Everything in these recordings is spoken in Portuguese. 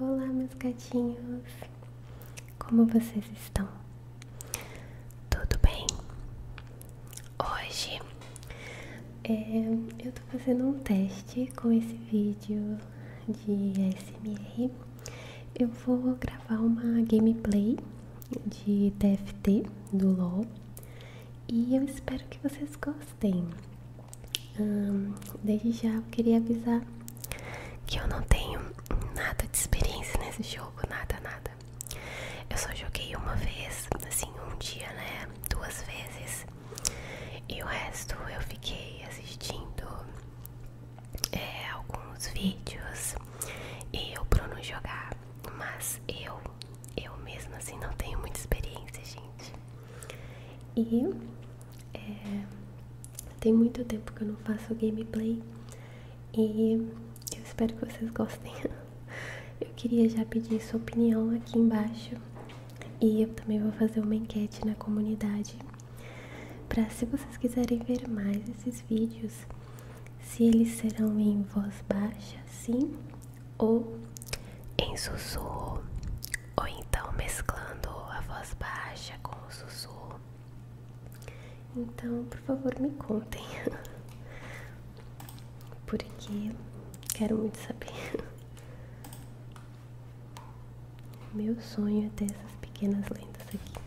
Olá, meus gatinhos! Como vocês estão? Tudo bem? Hoje é, eu tô fazendo um teste com esse vídeo de ASMR. Eu vou gravar uma gameplay de TFT do LOL e eu espero que vocês gostem desde já eu queria avisar que eu não tenho nada de experiência nesse jogo, nada, nada. Eu só joguei uma vez, assim, um dia, né? Duas vezes. E o resto eu fiquei assistindo é, alguns vídeos e o Bruno jogar. Mas eu, eu mesmo assim, não tenho muita experiência, gente. E é, tem muito tempo que eu não faço gameplay e eu espero que vocês gostem. Eu queria já pedir sua opinião aqui embaixo e eu também vou fazer uma enquete na comunidade para se vocês quiserem ver mais esses vídeos, se eles serão em voz baixa, sim, ou em sussurro, ou então mesclando a voz baixa com o sussurro. Então, por favor, me contem, porque quero muito saber. Meu sonho é ter essas pequenas lendas aqui.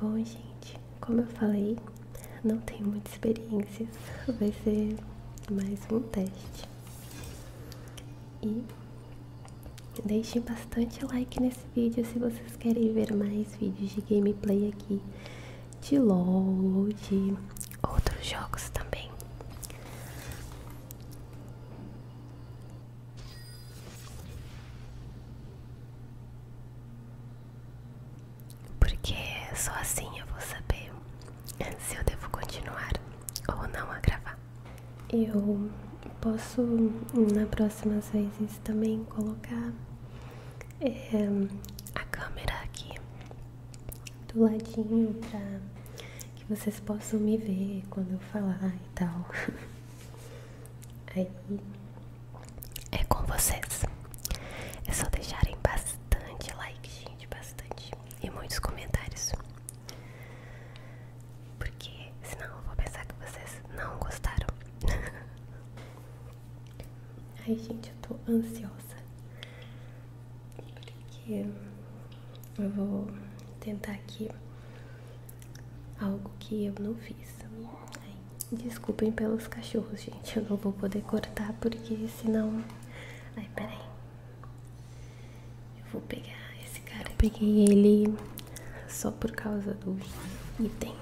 Bom, gente, como eu falei, não tenho muita experiência, vai ser mais um teste. E deixe bastante like nesse vídeo se vocês querem ver mais vídeos de gameplay aqui de LOL ou de outros jogos também porque só assim eu vou saber se eu devo continuar ou não a gravar. Eu posso na próximas vezes também colocar eh, a câmera aqui do ladinho para que vocês possam me ver quando eu falar e tal. Aí é com vocês. É só deixarem bastante like, gente, bastante e muitos comentários. Porque senão eu vou pensar que vocês não gostaram. Ai, gente, eu tô ansiosa. Porque eu vou tentar aqui algo que eu não fiz. desculpem pelos cachorros, gente. Eu não vou poder cortar porque senão Ai, peraí. Eu vou pegar esse cara. Eu peguei ele só por causa do item.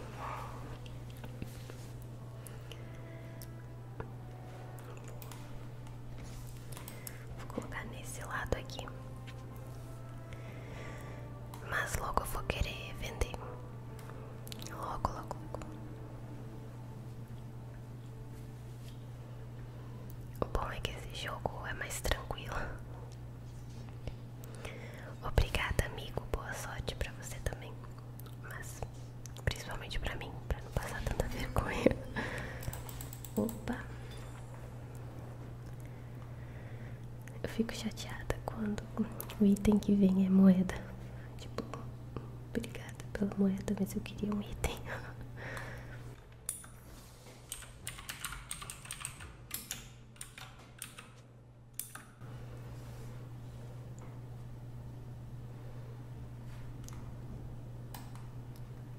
Vou colocar nesse lado aqui. Mas logo eu vou querer vender. Logo, logo, logo. O bom é que esse jogo é mais tranquilo. Obrigada, amigo. Boa sorte pra você também. Mas principalmente pra mim, pra não passar tanta vergonha. Opa! Eu fico chateada quando o item que vem é moeda. Tipo, obrigada pela moeda, mas eu queria um item.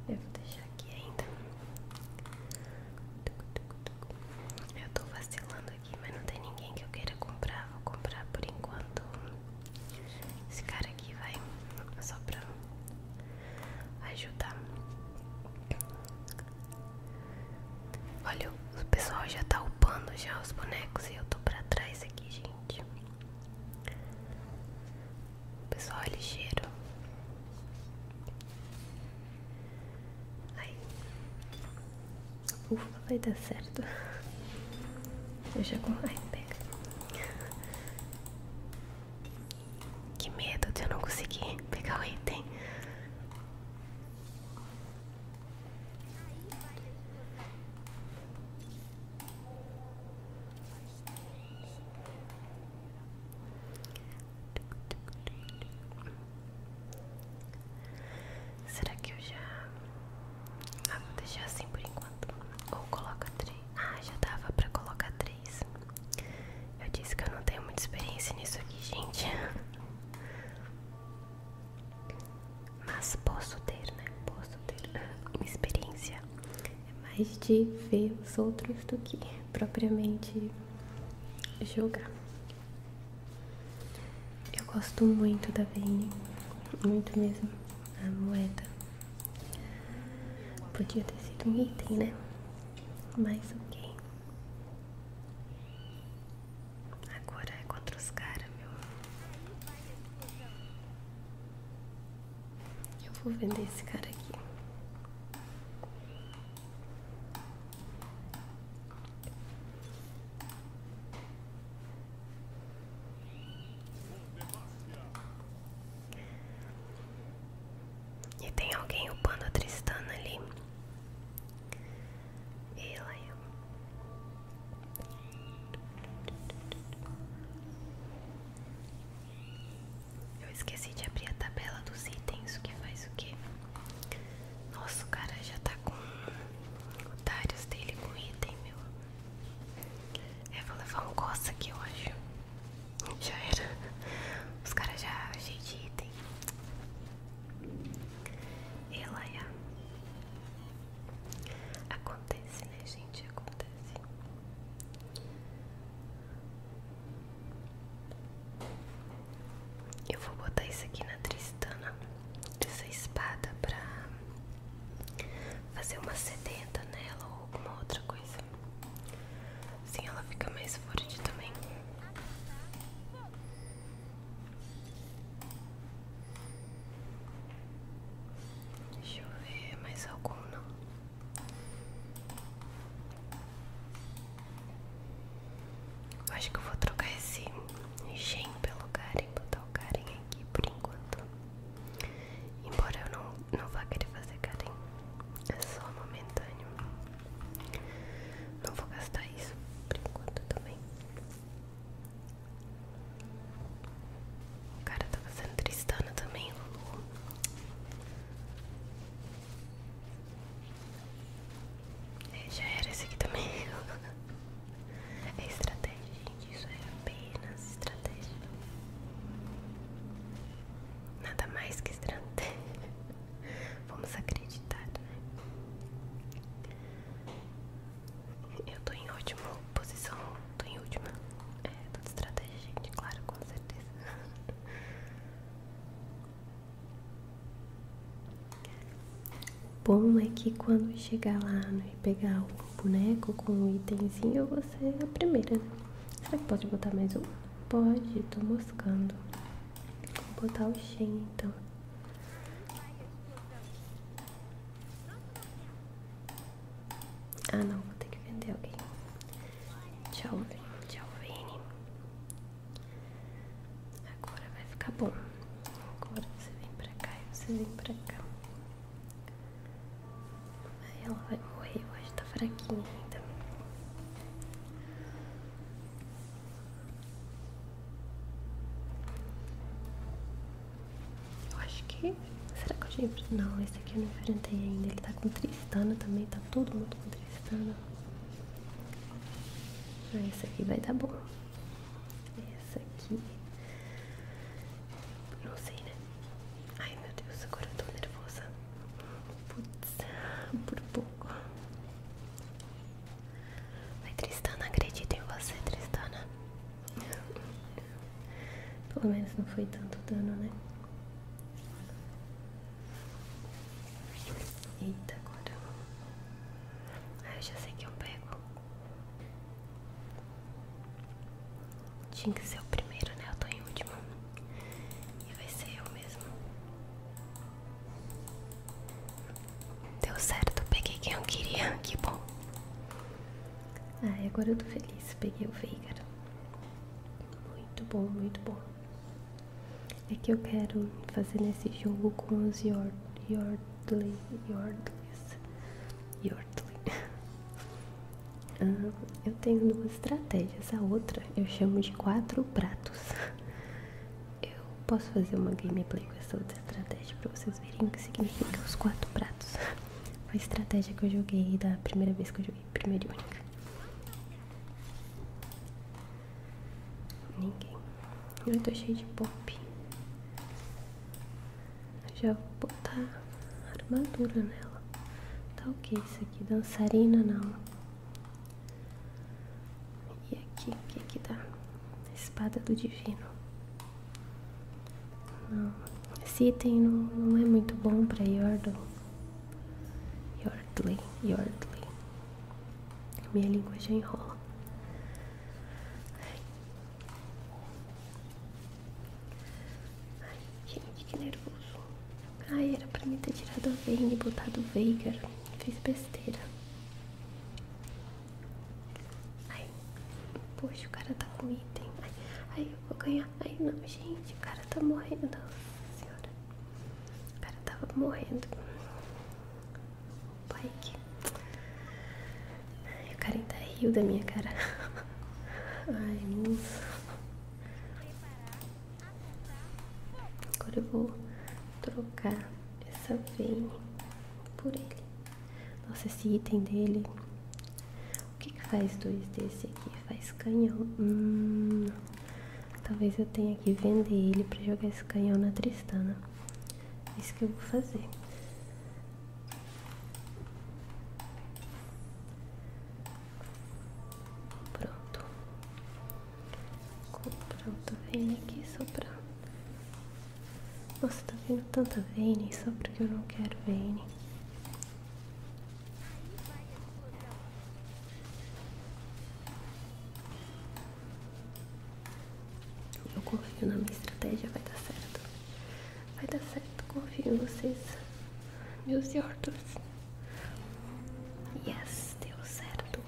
Eu vou deixar aqui ainda. Eu tô vacilando aqui, mas não tem ninguém que eu queira comprar. Vou comprar por enquanto esse cara aqui vai só pra ajudar. Olha, o pessoal já tá upando já os bonecos e eu tô pra trás aqui, gente. O pessoal é ligeiro. Aí. Ufa, vai dar certo. Eu com. Ai, pega. Que medo de eu não conseguir pegar o item. Será que eu já ah, vou deixar assim por enquanto. Ou coloca três. Ah, já dava pra colocar três. Eu disse que eu não tenho muita experiência nisso aqui, gente. Mas posso ter, né? Posso ter uma experiência. É mais de ver os outros do que propriamente jogar. Eu gosto muito da Vayne. Muito mesmo a moeda. Podia ter sido um item, né? Mas ok. Agora é contra os caras, meu. Eu vou vender esse cara aqui. E tem alguém upando a Tristana ali. Ela é. Eu esqueci de abrir a tabela dos itens, o que faz o que? Nossa, o cara já tá com os otários dele com item, meu. Eu vou levar um coça aqui hoje. Já era. Os caras já achei de item. Ela é. Acontece, né, gente? Acontece. Eu vou botar isso aqui na Tristana, essa espada pra fazer uma sedenta nela ou alguma outra coisa. Assim ela fica mais forte também. Deixa eu ver mais algum não. acho que eu vou trocar esse gen pelo Karen, botar o Karen aqui por enquanto. Embora eu não, não vá querer fazer Karen, é só momentâneo. Não vou gastar isso por enquanto também. O cara tá fazendo Tristana também, é, já era esse aqui também. É estratégia, gente. Isso é apenas estratégia. Nada mais que estratégia. Vamos acreditar, né? Eu tô em última posição. Tô em última. É, tô estratégia, gente. Claro, com certeza. Bom é que quando chegar lá né, e pegar o boneco né? com um itemzinho, você é a primeira, né? Será que pode botar mais um? Pode, tô moscando. Vou botar o Shen então. Ah não, vou ter que vender alguém. Tchau, Vini. Tchau, Vini. Agora vai ficar bom. Agora você vem pra cá e você vem pra cá. Ela vai morrer, eu acho que tá fraquinha ainda. Eu acho que. Será que eu já enfrentei? Não, esse aqui eu não enfrentei ainda. Ele tá com Tristana também, tá todo mundo com Tristana. Ah, esse aqui vai dar bom. Essa aqui. Não sei, né? Ai meu Deus, agora eu tô nervosa. Putz, por pouco. Vai, Tristana, acredita em você, Tristana. Pelo menos não foi tanto dano, né? Eita, agora. ai ah, eu já sei que eu pego. Tinha que ser o primeiro, né? Eu tô em último. E vai ser eu mesmo. Deu certo, peguei quem eu queria. Que bom. Ah, agora eu tô feliz. Peguei o Veigar. Muito bom, muito bom. É que eu quero fazer nesse jogo com os Yordleys. Yord, Yord, ah, eu tenho duas estratégias. A outra eu chamo de quatro pratos. Eu posso fazer uma gameplay com essa outra estratégia pra vocês verem o que significa os quatro pratos. Foi a estratégia que eu joguei da primeira vez que eu joguei, primeira e única. Ninguém. Eu tô cheio de pop. Já vou botar armadura nela. Tá ok isso aqui? Dançarina não. E aqui, o que que dá? Espada do Divino. Não. Esse item não, não é muito bom pra Yordle. Yordley, Yordley. Minha língua já enrola. Ai, gente, que nervoso. Ai, era pra mim ter tirado a Vayne e botado o Veigar. Fiz besteira. Ai, poxa, o cara tá com item. Ai, ai, eu vou ganhar. Ai, não, gente, o cara tá morrendo. Nossa senhora. O cara tava morrendo. Pai, aqui. Ai, o cara ainda riu da minha cara. Ai, moço. Agora eu vou trocar essa veia por ele. Nossa, esse item dele. O que, faz dois desse aqui? Faz canhão. Hum, talvez eu tenha que vender ele pra jogar esse canhão na Tristana. É isso que eu vou fazer. Pronto. Pronto, vem aqui só pra... Nossa, tá vendo tanta veine só porque eu não quero veine. Eu confio na minha estratégia, vai dar certo. Vai dar certo, confio em vocês, meus yortos. Yes, deu certo.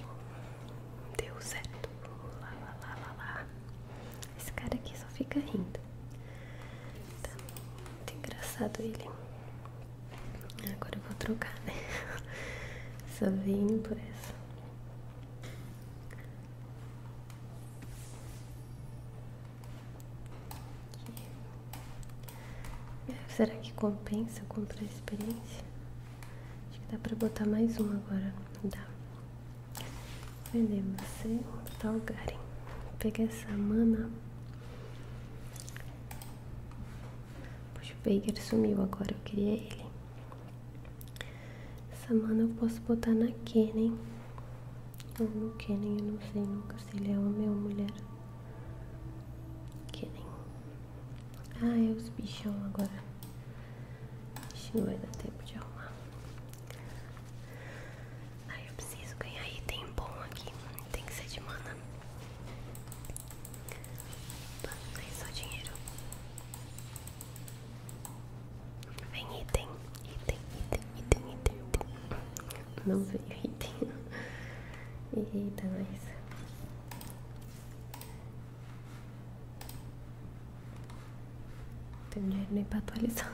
Deu certo. Lá, lá, lá, lá, lá. Esse cara aqui só fica rindo. Tá muito engraçado ele. Agora eu vou trocar, né? Só vim por essa. Será que compensa comprar a experiência? Acho que dá pra botar mais um agora. Vender você, botar o Garen. Peguei essa mana. Puxa, o Baker sumiu agora, eu queria ele. Essa mana eu posso botar na Kenen. Ou no Kenen, eu não sei nunca se ele é homem ou mulher. Kenen. Ah, é os bichão agora. Acho que não vai dar tempo de arrumar. Ai, eu preciso ganhar item bom aqui. Tem que ser de mana. Opa, não é só dinheiro. Vem item, item, item, item, item, Não veio item. Eita, mas. Não tenho dinheiro nem pra atualizar.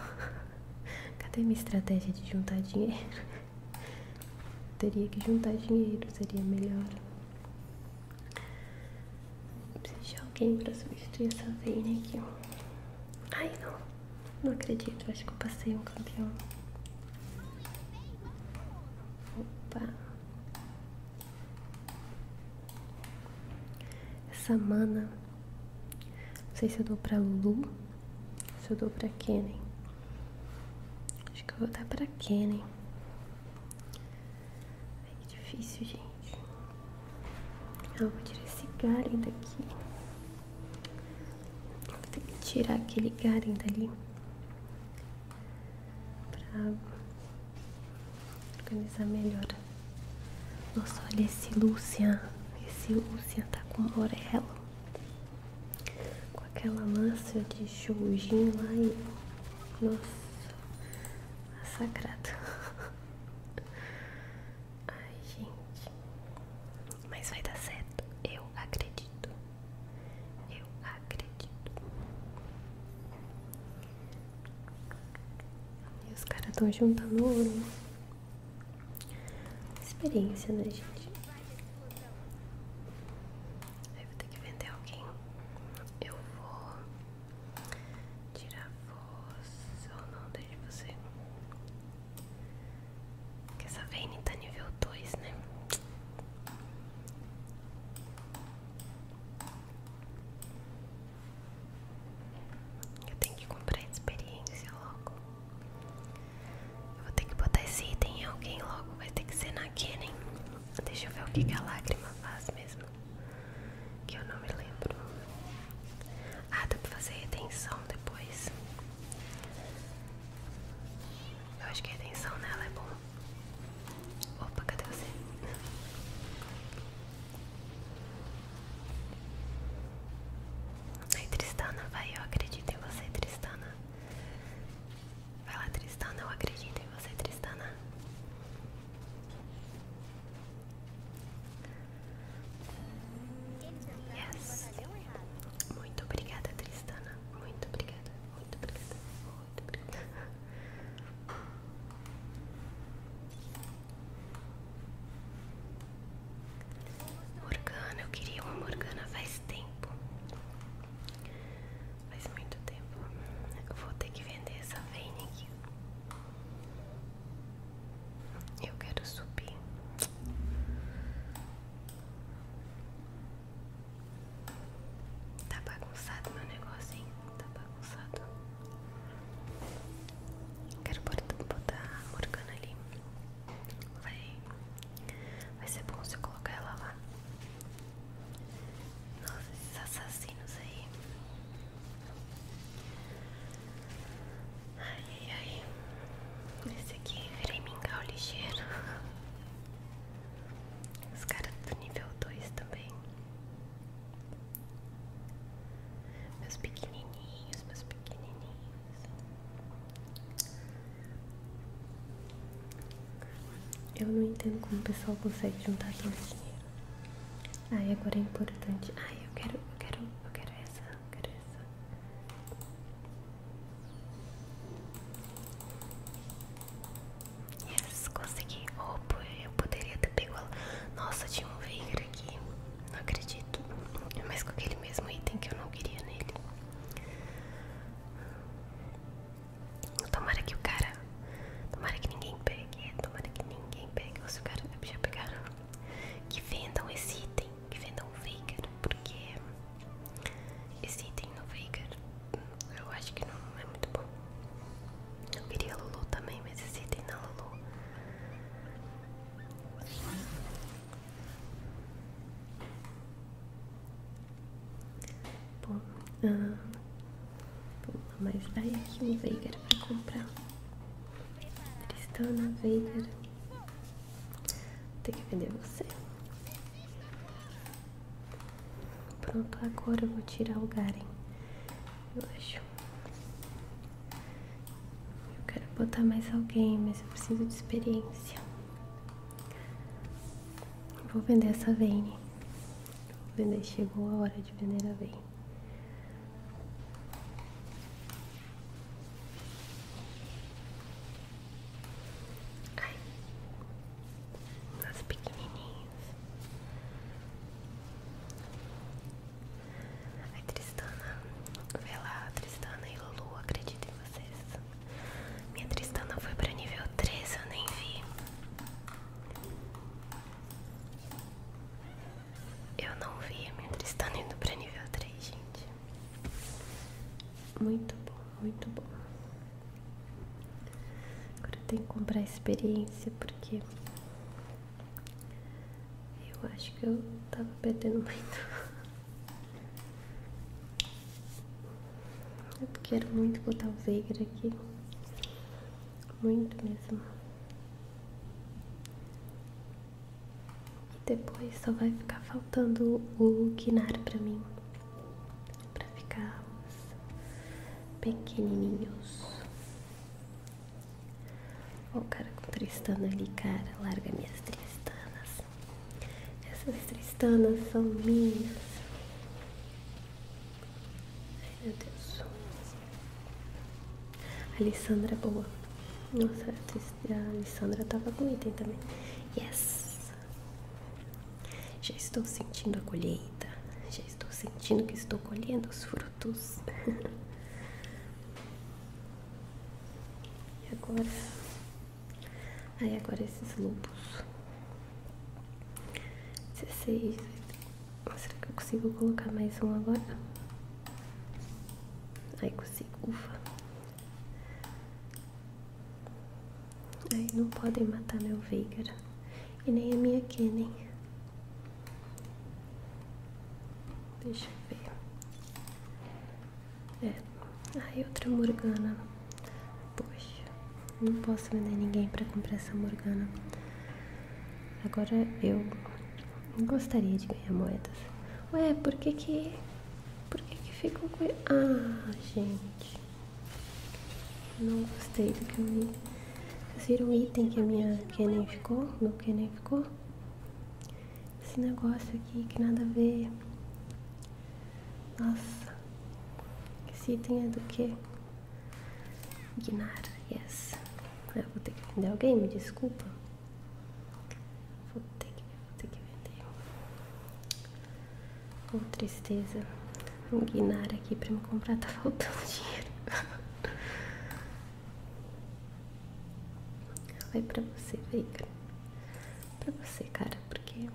Cadê minha estratégia de juntar dinheiro? teria que juntar dinheiro, seria melhor. Preciso de alguém pra substituir essa veia aqui. Ai, não. Não acredito. Acho que eu passei um campeão. Opa. Essa mana. Não sei se eu dou pra Lu, Se eu dou pra Kennen. Acho que eu vou dar pra Kennen. Ai, que difícil, gente. Eu vou tirar esse Garen daqui. Vou ter que tirar aquele Garen dali. Pra organizar melhor. Nossa, olha esse Lucian. Esse Lucian tá com o morelo. Com aquela massa de Shoujin lá Nossa, massacrado. Tá Ai, gente. Mas vai dar certo. Eu acredito. Eu acredito. E os caras estão juntando ouro. Experiência, né, gente? Aí vou ter que vender alguém. Eu vou tirar força ou não desde você. Porque essa Vayne tá nível 2, né? Eu tenho que comprar experiência logo. Eu vou ter que botar esse item em alguém logo. Vai ter que ser na Kennen. Deixa eu ver o que, que a lágrima faz mesmo. Que eu não me lembro. Ah, dá pra fazer retenção depois. Eu acho que a retenção nela é bom. Opa, cadê você? Aí, Tristana, vai, eu acredito em você, Tristana. Vai lá, Tristana, eu acredito em você, Tristana. Yes. Muito obrigada, Tristana. Muito obrigada, muito obrigada, Morgana, eu queria uma Morgana faz tempo. Faz muito tempo. vou ter que vender essa veia aqui. Eu quero subir. Tá bagunçado meu negócio, hein? Tá bagunçado. Quero botar a Morgana ali. Vai, vai ser bom se colocar ela lá. Nossa, esses assassinos aí. Ai, ai, ai. Esse aqui virei é mingau ligeiro. Os caras do nível 2 também. Meus pequenininhos, meus pequenininhos. Eu não entendo como o pessoal consegue juntar tanto dinheiro. Ai, agora é importante. Ai, eu quero, eu quero, eu quero essa, eu quero essa. Yes, consegui. Oh, eu poderia ter pego Nossa, tinha um Veigar aqui. Não acredito. Mas com aquele mesmo item que eu não queria nele. Tomara que o cara. Tomara que ninguém pegue pegue, tomara que ninguém pegue, ou cara já pegaram, que vendam esse item, que vendam o Veigar, porque esse item no Veigar eu acho que não é muito bom. Eu queria Lulu também, mas esse item na é Lulu. Bom, uh, Pula, mas vai aqui o Veigar pra comprar. Tristana, Veigar. Tem que vender você. Pronto, agora eu vou tirar o Garen. Eu acho. Eu quero botar mais alguém, mas eu preciso de experiência. Vou vender essa Vayne. vender, chegou a hora de vender a Vayne. Ai, meus pequenininhos. A Tristana, vê lá, a Tristana e Lulu, acredito em vocês. Minha Tristana foi pra nível 3, eu nem vi. Eu não vi a minha Tristana indo para nível 3, gente. Muito bom, muito bom. Agora eu tenho que comprar experiência porque eu acho que eu tava perdendo muito. Eu é quero muito botar o Veigar aqui muito mesmo. E depois só vai ficar faltando o guinar pra mim, pra ficar os pequenininhos. Olha o cara com tristana ali, cara, larga minhas tristanas. Essas tristanas são minhas. Ai, meu Deus. Alessandra é boa. Nossa, a Alessandra tava com item também. Yes! Já estou sentindo a colheita. Já estou sentindo que estou colhendo os frutos. e agora. Aí agora esses lobos. 16, Será que eu consigo colocar mais um agora? Aí consigo, ufa. Aí não podem matar meu Veigar. E nem a minha Kennen. Deixa eu ver. É. Aí outra Morgana. Poxa. Não posso vender ninguém pra comprar essa Morgana. Agora eu gostaria de ganhar moedas. Ué, por que que. Por que que ficam com. Ah, gente. Não gostei do que eu vi. Vocês viram o item que a minha que nem ficou? não que nem ficou? Esse negócio aqui que nada a ver. Nossa. Esse item é do quê Gnara, yes. vou ter que vender alguém, me desculpa. Vou ter que, vou ter que vender. Oh, tristeza. Um Gnara aqui pra me comprar tá faltando dinheiro. Vai pra você, Veiga. Pra você, cara, porque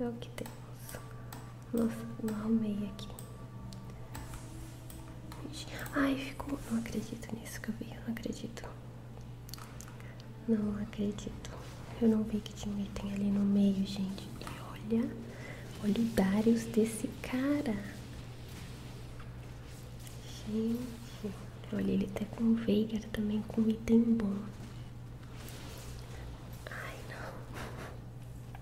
é o que temos. Nossa, não arrumei aqui. Ai, ficou. Não acredito nisso que eu vi. Eu não acredito. Não acredito. Eu não vi que tinha um item ali no meio, gente. E olha, olha o Darius desse cara. Gente, olha ele até tá com Veigar também, com item bom. Ai, não.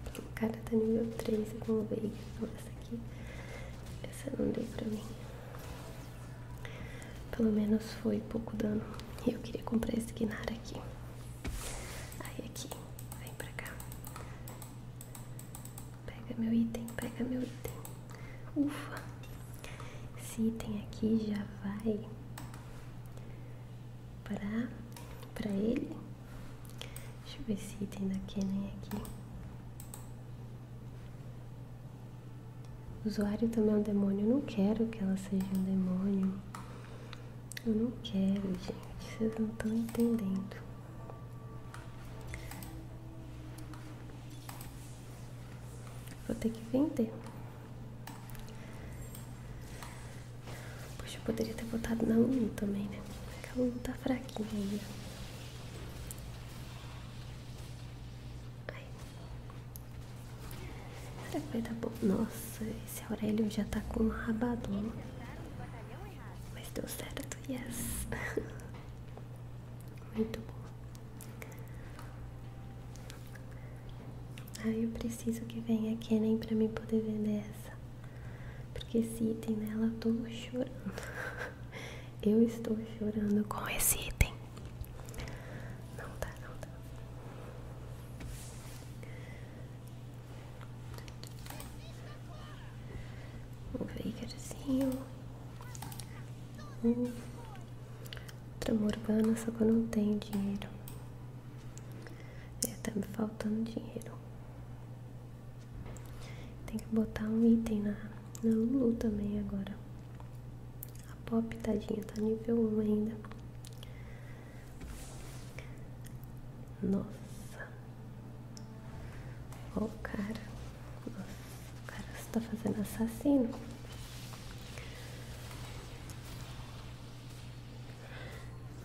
Porque o cara tá nível 3 com o Veiga. essa aqui, essa não deu pra mim. Pelo menos foi pouco dano. e Eu queria comprar esse Guinar aqui. Aí aqui, vem pra cá. Pega meu item, pega meu item. Ufa! Esse item aqui já vai para, para ele. Deixa eu ver se tem da Canon né, aqui. O usuário também é um demônio. Eu não quero que ela seja um demônio. Eu não quero, gente. Vocês não estão entendendo. Vou ter que vender. Poxa, eu poderia ter botado na 1 também, né? É a 1 tá fraquinha ainda. Ai. Será que vai dar bom? Nossa, esse Aurélio já tá com um rabadão. Mas deu certo, yes! Muito bom. Ah, eu preciso que venha a Kenan pra mim poder vender essa. Porque esse item nela eu tô chorando. Eu estou chorando com esse item. Não tá, não tá. Um veigarzinho. Um. Outra Morgana, só que eu não tenho dinheiro. É, tá me faltando dinheiro. Tem que botar um item na, na Lulu também agora. A Pop, tadinha, tá nível 1 ainda. Nossa. Ó, o cara. Nossa, o cara está fazendo assassino.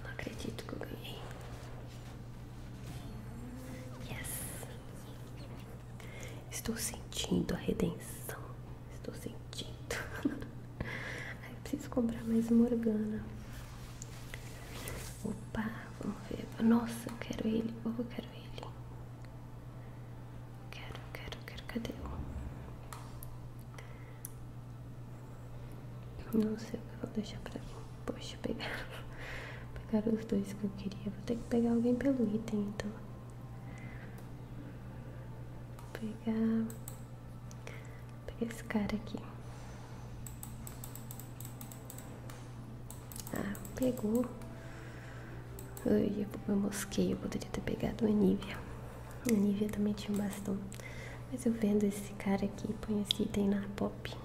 Não acredito que eu ganhei. Yes! Estou sentindo a redenção. Estou sentindo. Ai, eu preciso comprar mais uma Morgana. Opa, vamos ver. Nossa, eu quero ele. Oh, eu quero ele. Quero, quero, quero. Cadê? Não sei o que eu vou deixar pra mim. Poxa, pegar, pegar os dois que eu queria. Vou ter que pegar alguém pelo item, então. Vou pegar, vou pegar esse cara aqui. Ah, pegou. Eu, eu mosquei, eu poderia ter pegado a Nívia. A Nívia também tinha um bastão. Mas eu vendo esse cara aqui, põe esse item na pop.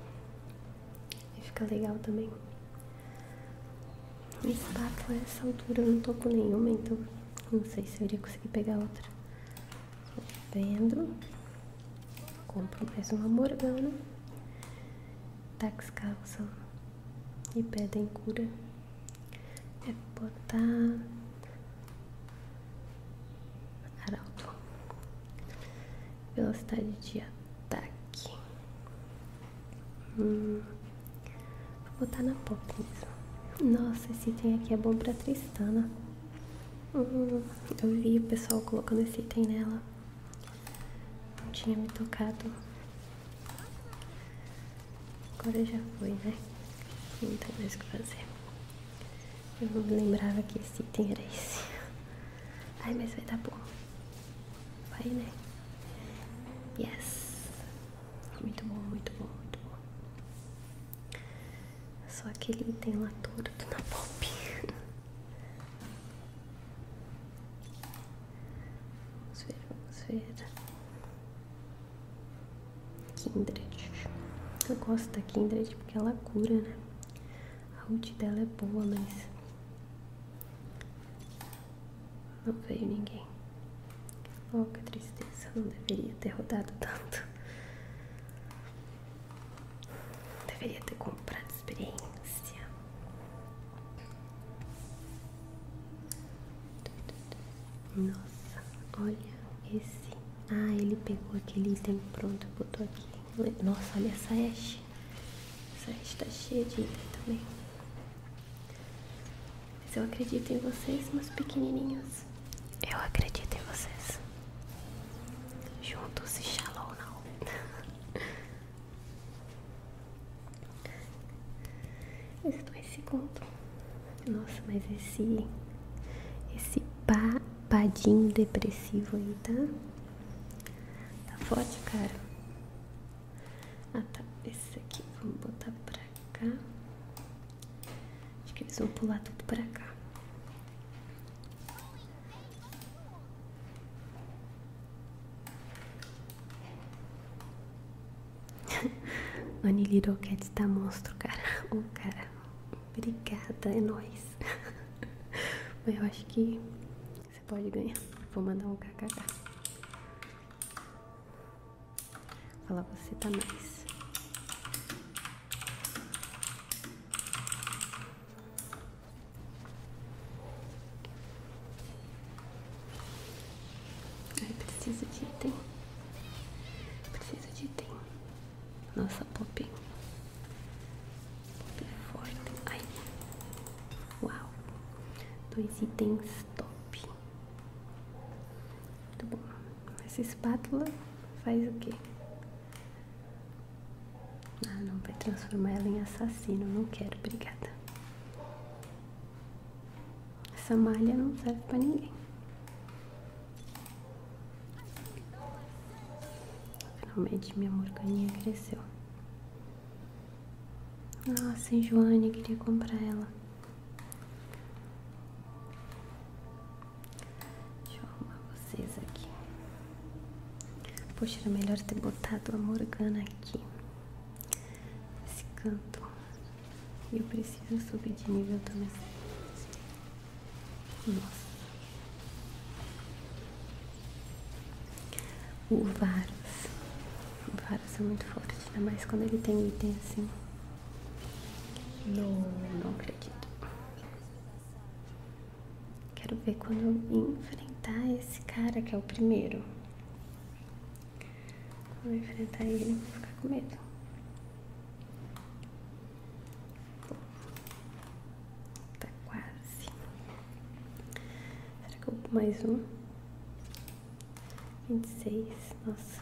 E fica legal também. Espátula a é essa altura eu não tô com nenhuma, então não sei se eu iria conseguir pegar outra. Vendo. Compro mais uma morgana. Tax calça. E pedem cura. É botar Arauto. Velocidade de ataque. Hum. Vou botar na pop Nossa, esse item aqui é bom pra Tristana. Hum. eu vi o pessoal colocando esse item nela. Não tinha me tocado. Agora já foi, né? Não tem mais o que fazer. Eu não lembrava que esse item era esse. Ai, mas vai dar bom. Vai, né? Yes! Muito bom, muito bom, muito bom. Só aquele item lá torto na pop. Vamos ver, vamos ver. Kindred. Eu gosto da Kindred porque ela cura, né? A ult dela é boa, mas. Não veio ninguém. Oh, que tristeza. Não deveria ter rodado tanto. Deveria ter comprado experiência. Nossa, olha esse ah, ele pegou aquele item pronto e botou aqui. Nossa, olha essa Ash. Essa Ash tá cheia de item também. Mas eu acredito em vocês, meus pequenininhos. Eu acredito em vocês. Juntos e shallow now. Estou em segundo. Nossa, mas esse esse papadinho depressivo aí, tá? Tá forte, cara? Ah, tá. Esse aqui, vamos botar pra cá. Acho que eles vão pular tudo pra cá. Annie Little Cat tá monstro, cara. O oh, cara. Obrigada, é nóis. Mas eu acho que você pode ganhar. Vou mandar um kkk. Falar você tá mais. Ai, preciso de item. precisa de item. Nossa, pop Poppy é forte. Uau. Dois itens top. Muito bom. Essa espátula faz o quê? Ah, não. Vai transformar ela em assassino. Não quero. Obrigada. Essa malha não serve pra ninguém. Finalmente minha morganinha cresceu. Nossa, hein, Joane, queria comprar ela. Deixa eu arrumar vocês aqui. Poxa, era melhor ter botado a Morgana aqui. Esse canto. E eu preciso subir de nível também. Nossa. O Varus. O Varus é muito forte, ainda mais quando ele tem item assim. Não, não acredito. Quero ver quando eu enfrentar esse cara que é o primeiro. Vou enfrentar ele, vou ficar com medo. Tá quase. Será que eu vou mais um? 26, nossa.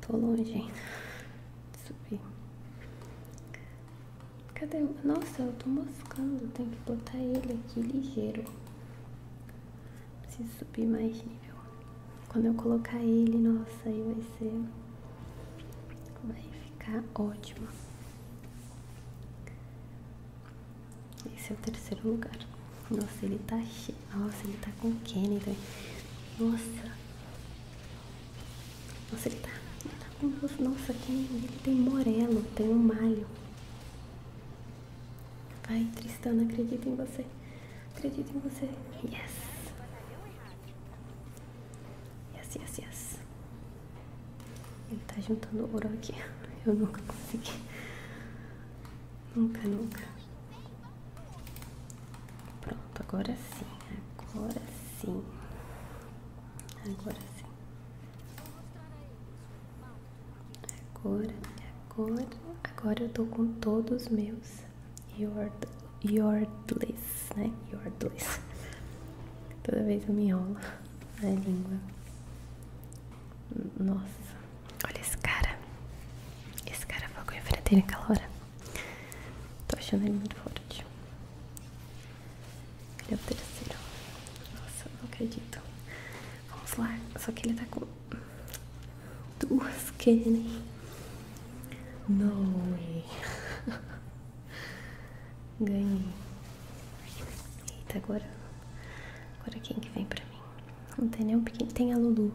Tô longe ainda de subir. Cadê? o Nossa, eu tô moscando. tenho que botar ele aqui ligeiro. Preciso subir mais nível. Quando eu colocar ele, nossa, aí vai ser. Vai ficar ótimo. Esse é o terceiro lugar. Nossa, ele tá cheio. Nossa, ele tá com Kenny também. Nossa. Nossa, ele tá, tá Nossa, Kenny, ele tem Morello, tem o malho. Vai, Tristana, acredito em você. Acredito em você. Yes. Yes, yes, yes. Ele tá juntando ouro aqui. Eu nunca consegui. Nunca, nunca. Pronto, agora sim. Agora sim. Agora sim. Agora, agora, agora eu tô com todos os meus Your, Yordles, né? Your Yordles. Toda vez eu me enrolo na língua. Nossa, olha esse cara. Esse cara falou com a frente naquela hora. Tô achando ele muito forte. Ele é o terceiro. Nossa, não acredito. Vamos lá. Só que ele tá com Duas Kenny. No way. Ganhei. Eita, agora. Agora quem que vem pra mim? Não tem nem um pequeno. Tem a Lulu.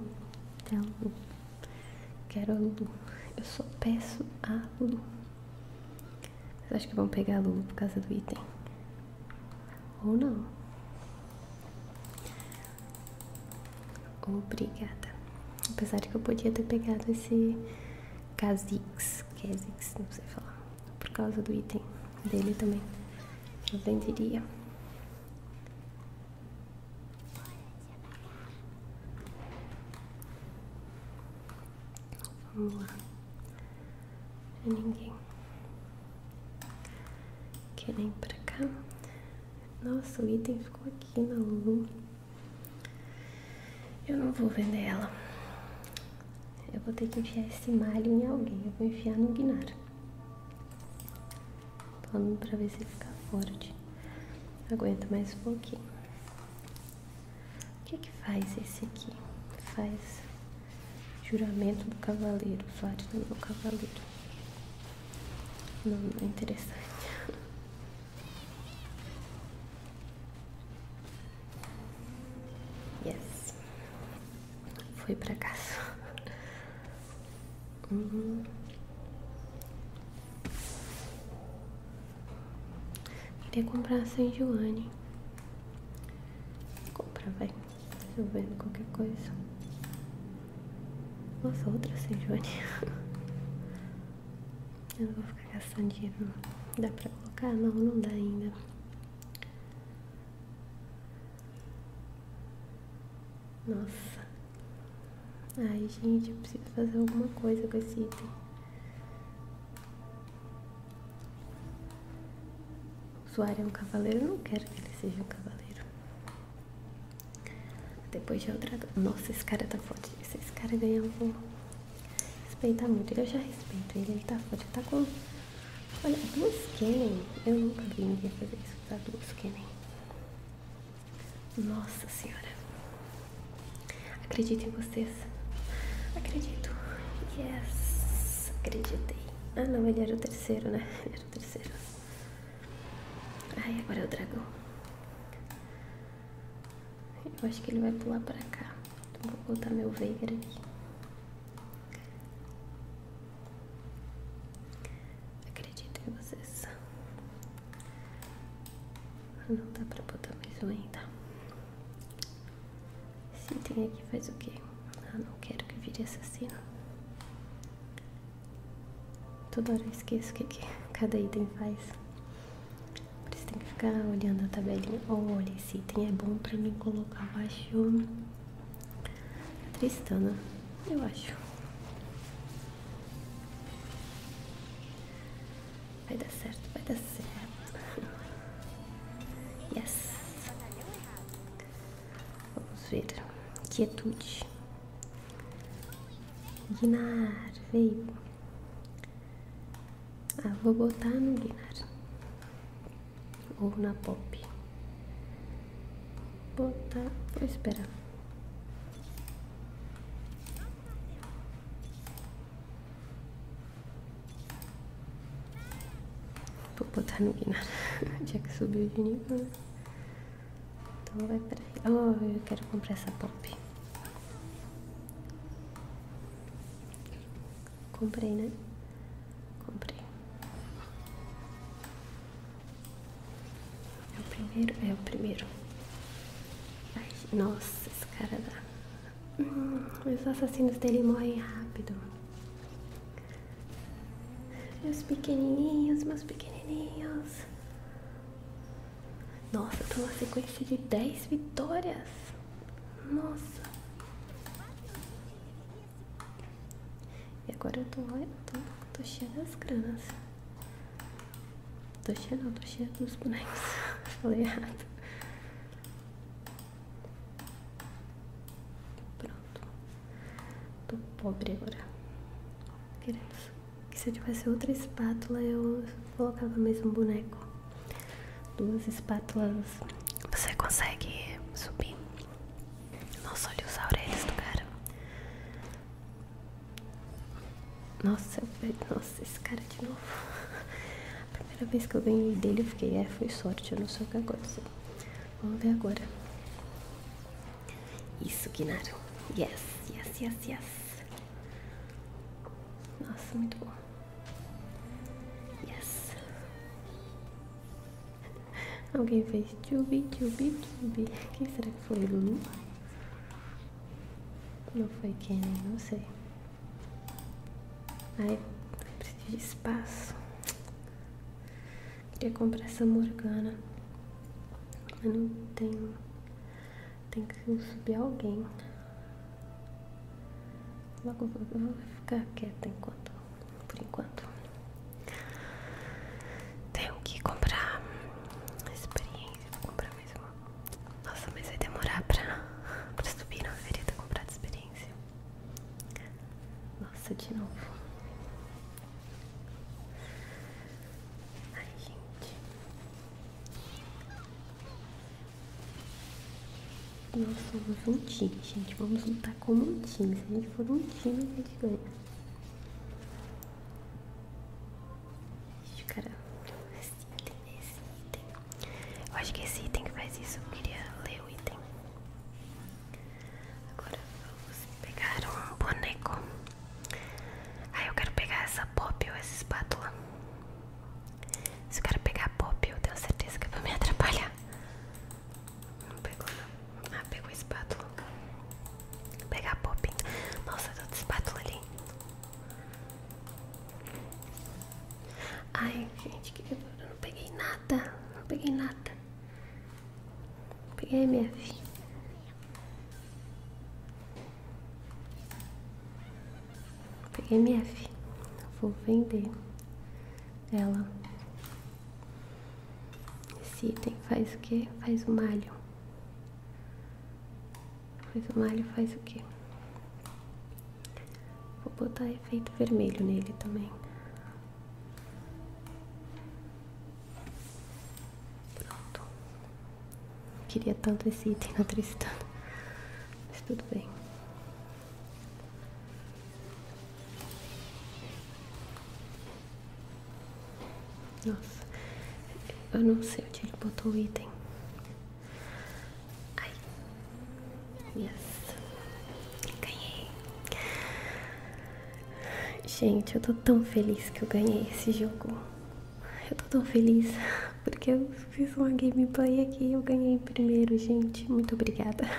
Quero a Lulu. Eu só peço a Lulu. Mas acho que vão pegar a Lulu por causa do item. Ou não. Obrigada. Apesar de que eu podia ter pegado esse Kazix, Kazix não sei falar, por causa do item dele também. Eu venderia. Vamos lá. Ninguém quer nem pra cá. Nossa, o item ficou aqui na Lulu. Eu não vou vender ela. Eu vou ter que enfiar esse malho em alguém. Eu vou enfiar no Tô indo pra ver se ele fica forte. Aguenta mais um pouquinho. O que é que faz esse aqui? Faz juramento do cavaleiro, fato do meu cavaleiro. Não, não é interessante. Yes. Fui pra casa. Uhum. Queria comprar a San Joane. Compra, vai. Tô vendo qualquer coisa. Nossa, outra Sejuani. Eu não vou ficar gastando dinheiro. Dá pra colocar? Não, não dá ainda. Nossa. Ai, gente, eu preciso fazer alguma coisa com esse item. O usuário é um cavaleiro. Eu não quero que ele seja um cavaleiro. Depois de é Nossa, esse cara tá forte. Se esse cara ganhar, eu vou respeitar muito. Eu já respeito ele, ele tá forte. tá com. Olha, duas tá Kennen. Eu nunca vi ninguém fazer isso. Tá duas Kennen. Nossa senhora. Acredito em vocês. Acredito. Yes. Acreditei. Ah, não, ele era o terceiro, né? Ele era o terceiro. Ai, agora é o dragão. Eu acho que ele vai pular pra cá. vou botar meu Veigar aqui. Acredito em vocês. Não dá pra botar mais um ainda. Esse item aqui faz o quê? Ah, não quero que vire assassino. Toda hora eu esqueço o que, cada item faz. Por isso tem que ficar olhando a tabelinha. Olha, esse item é bom pra mim colocar, eu acho. Tristana, eu acho. Vai dar certo, vai dar certo. Yes. Vamos ver. Quietude. Guinar, veio. Ah, vou botar no Guinar. Ou na Pop. Botar, vou esperar. Vou botar no Guinar, já que subiu de nível, né? Então vai pra aí. Oh, eu quero comprar essa pop. Comprei, né? Comprei. É o primeiro? É o primeiro. Ai, nossa, esse cara dá. Hum, os assassinos dele morrem rápido. Meus pequenininhos, meus pequenininhos. Nossa, tô na tá sequência de 10 vitórias. Nossa. E agora eu tô, eu tô, tô cheia das granas. Tô cheia não, tô cheia dos bonecos. Falei errado. Pronto. Tô pobre agora queridos. Que se eu tivesse outra espátula, eu colocava mesmo boneco. Duas espátulas. Você consegue subir? Nossa, olha os aureles do cara. Nossa, nossa, esse cara de novo. A primeira vez que eu ganhei dele, eu fiquei, é, foi sorte, eu não sei o que aconteceu. Vamos ver agora. Isso, Guinaro. Yes, yes, yes, yes. Nossa, muito bom. Yes. Alguém fez tchubi, tchubi, tchubi. Quem será que foi? Lulu? Não foi quem, não sei. Ai, preciso de espaço. Queria comprar essa Morgana. Mas não tenho. Tem que subir alguém. Logo vou, vou ficar quieta enquanto. Por enquanto. Tenho que comprar experiência. Vou comprar mesmo. Nossa, mas vai demorar pra, pra subir. Não deveria ter comprado experiência. Nossa, de novo. Ai, gente. Nós somos um time, gente. Vamos lutar como um time. Se a gente for um time, a gente ganha. Eu acho que esse item que faz isso. Eu queria ler o item. Agora vamos pegar um boneco. Aí ah, eu quero pegar essa pop ou essa espátula. Se eu quero pegar a pop, eu tenho certeza que vai me atrapalhar. Não pegou, não. Ah, pegou a espátula. Vou pegar a pop. Nossa, tem outra espátula ali. Ai, gente, que eu não peguei nada. Não peguei nada. Peguei minha filha. Peguei minha filha. Vou vender ela. Esse item faz o que? Faz o malho. Faz o malho, faz o que? Vou botar efeito vermelho nele também. Pronto. Queria tanto esse item na Tristana, mas tudo bem. Nossa, eu não sei onde ele botou o item. Ai, yes, ganhei. Gente, eu tô tão feliz que eu ganhei esse jogo. Eu tô tão feliz porque eu fiz uma gameplay aqui e eu ganhei primeiro, gente. Muito obrigada.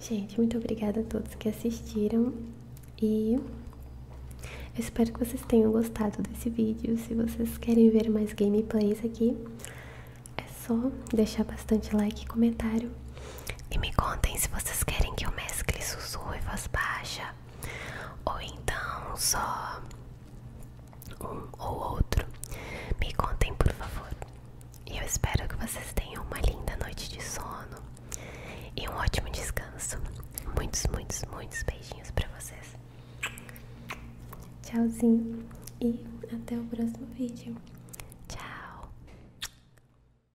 Gente, muito obrigada a todos que assistiram e eu espero que vocês tenham gostado desse vídeo. Se vocês querem ver mais gameplays aqui, é só deixar bastante like e comentário. E me contem se vocês querem que eu mescle sussurro e voz baixa, ou então só um ou outro. Me contem, por favor. E eu espero que vocês tenham uma linda noite de sono e um ótimo descanso. Muitos, muitos, muitos beijinhos para vocês. Tchauzinho e até o próximo vídeo. Tchau.